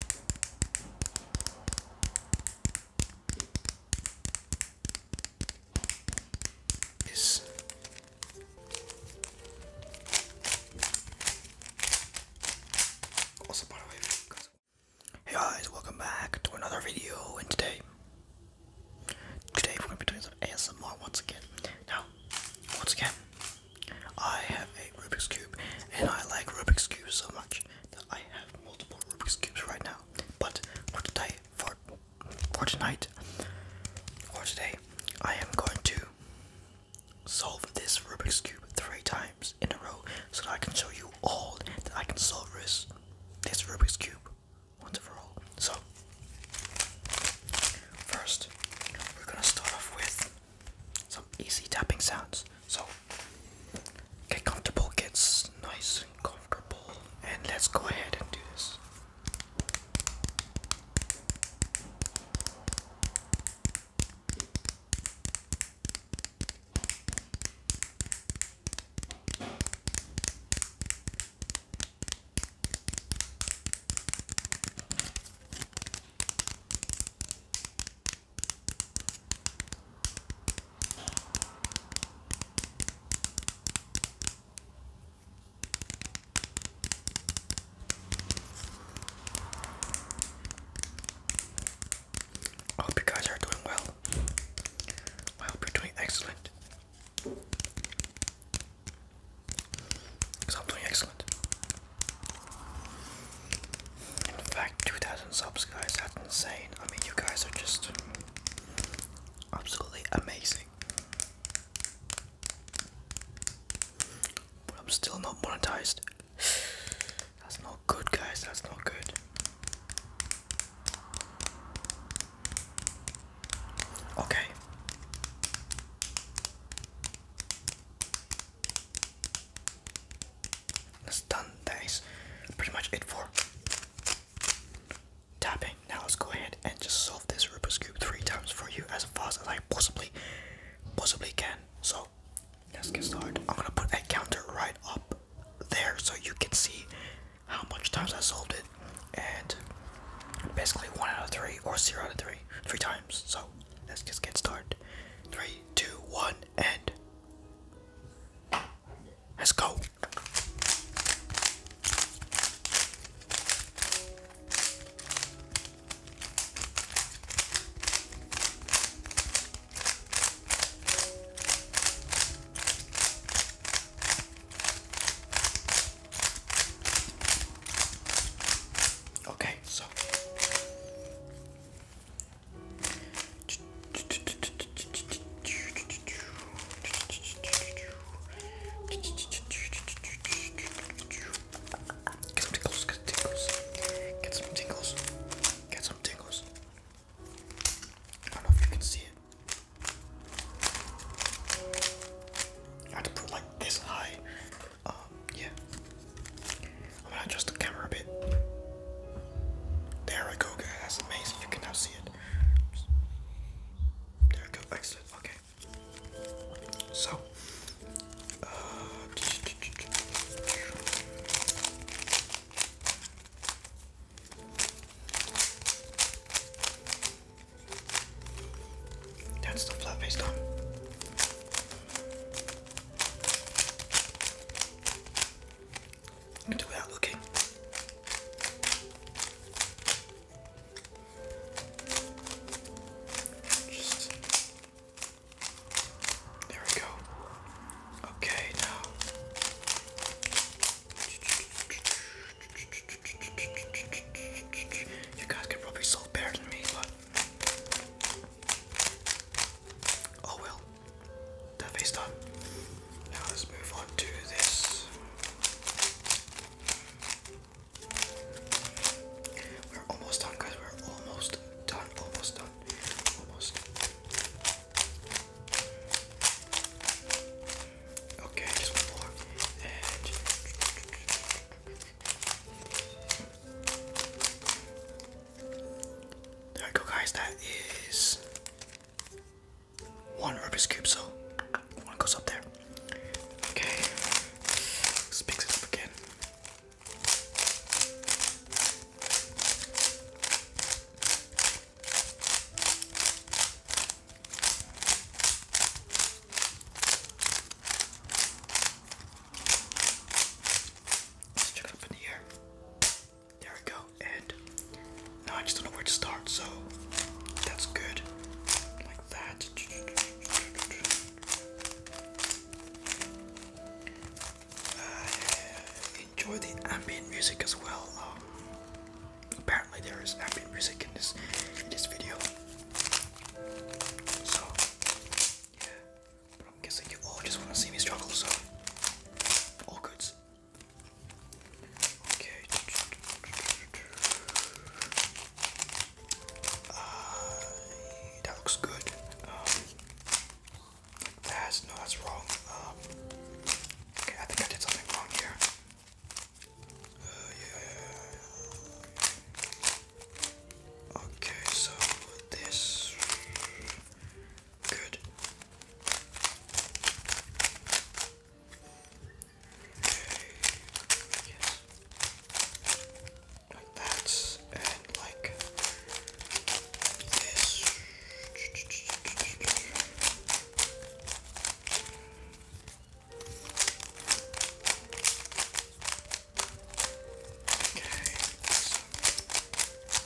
hey guys, welcome back to another video, and today, today we're gonna be doing some ASMR once again. Now, once again, I have a Rubik's cube, and I like Rubik's cube so much that I have multiple Rubik's cubes right now. But for today, for for tonight, for today, I am going to solve this Rubik's cube three times in a row, so that I can show you all that I can solve this this Rubik's cube once and for all. So first, we're gonna start off with some easy tapping sounds. So get comfortable, gets nice and comfortable, and let's go ahead and do this. I hope you guys are doing well. I hope you're doing excellent. Because I'm doing excellent. In fact, 2,000 subs, guys, that's insane. I mean, you guys are just absolutely amazing. But I'm still not monetized. That's not good, guys, that's not good. Okay. That's done. That is pretty much it for tapping. Now let's go ahead and just solve this Rubik's Cube three times for you as fast as I possibly possibly can. So let's get started. I'm gonna put a counter right up there so you can see how much times I solved it and basically one out of three or zero out of three three times so let's just get started three two one and Let's go. Okay, so Get some tingles, get some tingles, get some tingles, get some tingles. I don't know if you can see it. I had to put like this high. Um, yeah. I'm gonna adjust the camera a bit. There we go, guys. That's amazing. You can now see it. There we go. Excellent. Okay. So, uh, that's the flat face do without looking. Just there we go. Okay, now you guys can probably solve better than me, Oh well, that face done. Now let's move on to this. We're almost done, guys. We're almost done. Almost done. Almost. Okay, just one more. There we go, guys. That is one Rubik's Cube, so one goes up there. Okay, let's mix it up again. Let's check it up in the air. There we go. And now I just don't know where to start, so that's good. Like that. Uh, enjoy the ambient music as well. Um, apparently there is ambient music in this in this video. So yeah. But I'm guessing you all just want to see me struggle, so all goods. Okay. Uh, that looks good. Um, that's no, that's wrong. Um, okay, I think I did something wrong here. Uh, okay, so this. Good. Like that and like this. Okay.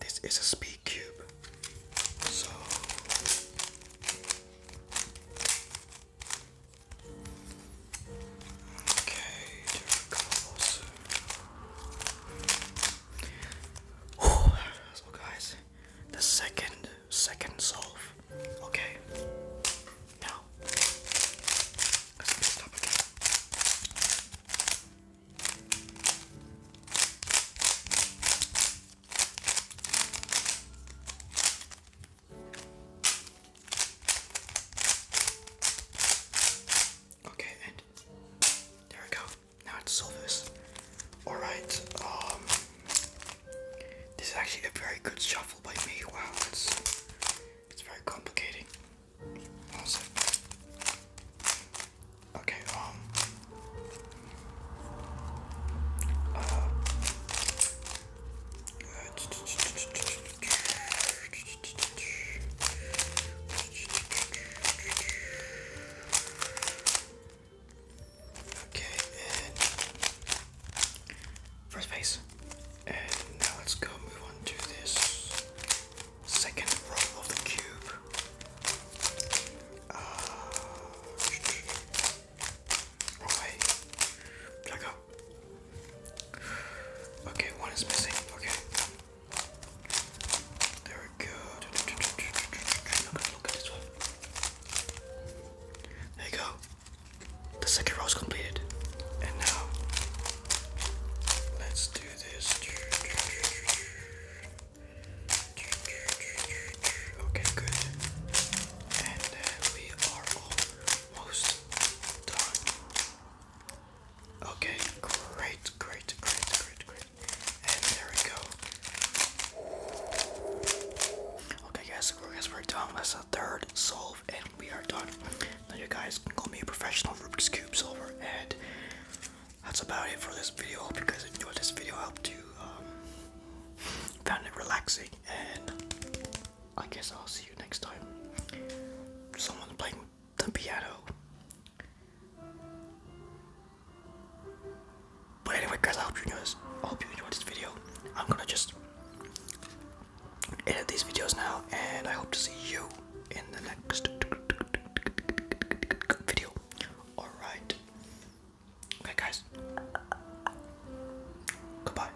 This is a speed cube. So Okay, there we go. Also. guys, the second second solve. Okay. Now Okay, and there we go. Now it's solvers. Alright, um this is actually a very good shuffle by me. Wow, it's it's very complicated. Okay, um, Uh, okay, first base. And now let's go move on to this second row of the cube. Uh, wrong way. Black Okay, one missing. Okay. There we go. There you go. The second row is completed. And now, let's do this. Okay, good. And we are almost done. Okay, great, great, great, great, great. And there we go. Okay, guys, guys, we're done. That's a third solve, and we are done. Now, you guys can call me a professional Rubik's Cube solver, and that's about it for this video. Hope you guys enjoyed this video. I hope you um, found it relaxing, and I guess I'll see you next time. Someone playing the piano. But anyway, guys, I hope you enjoyed this. hope you enjoyed this video. I'm gonna just edit these videos now, and I hope to see you in the next video. Alright. Okay, guys. Goodbye.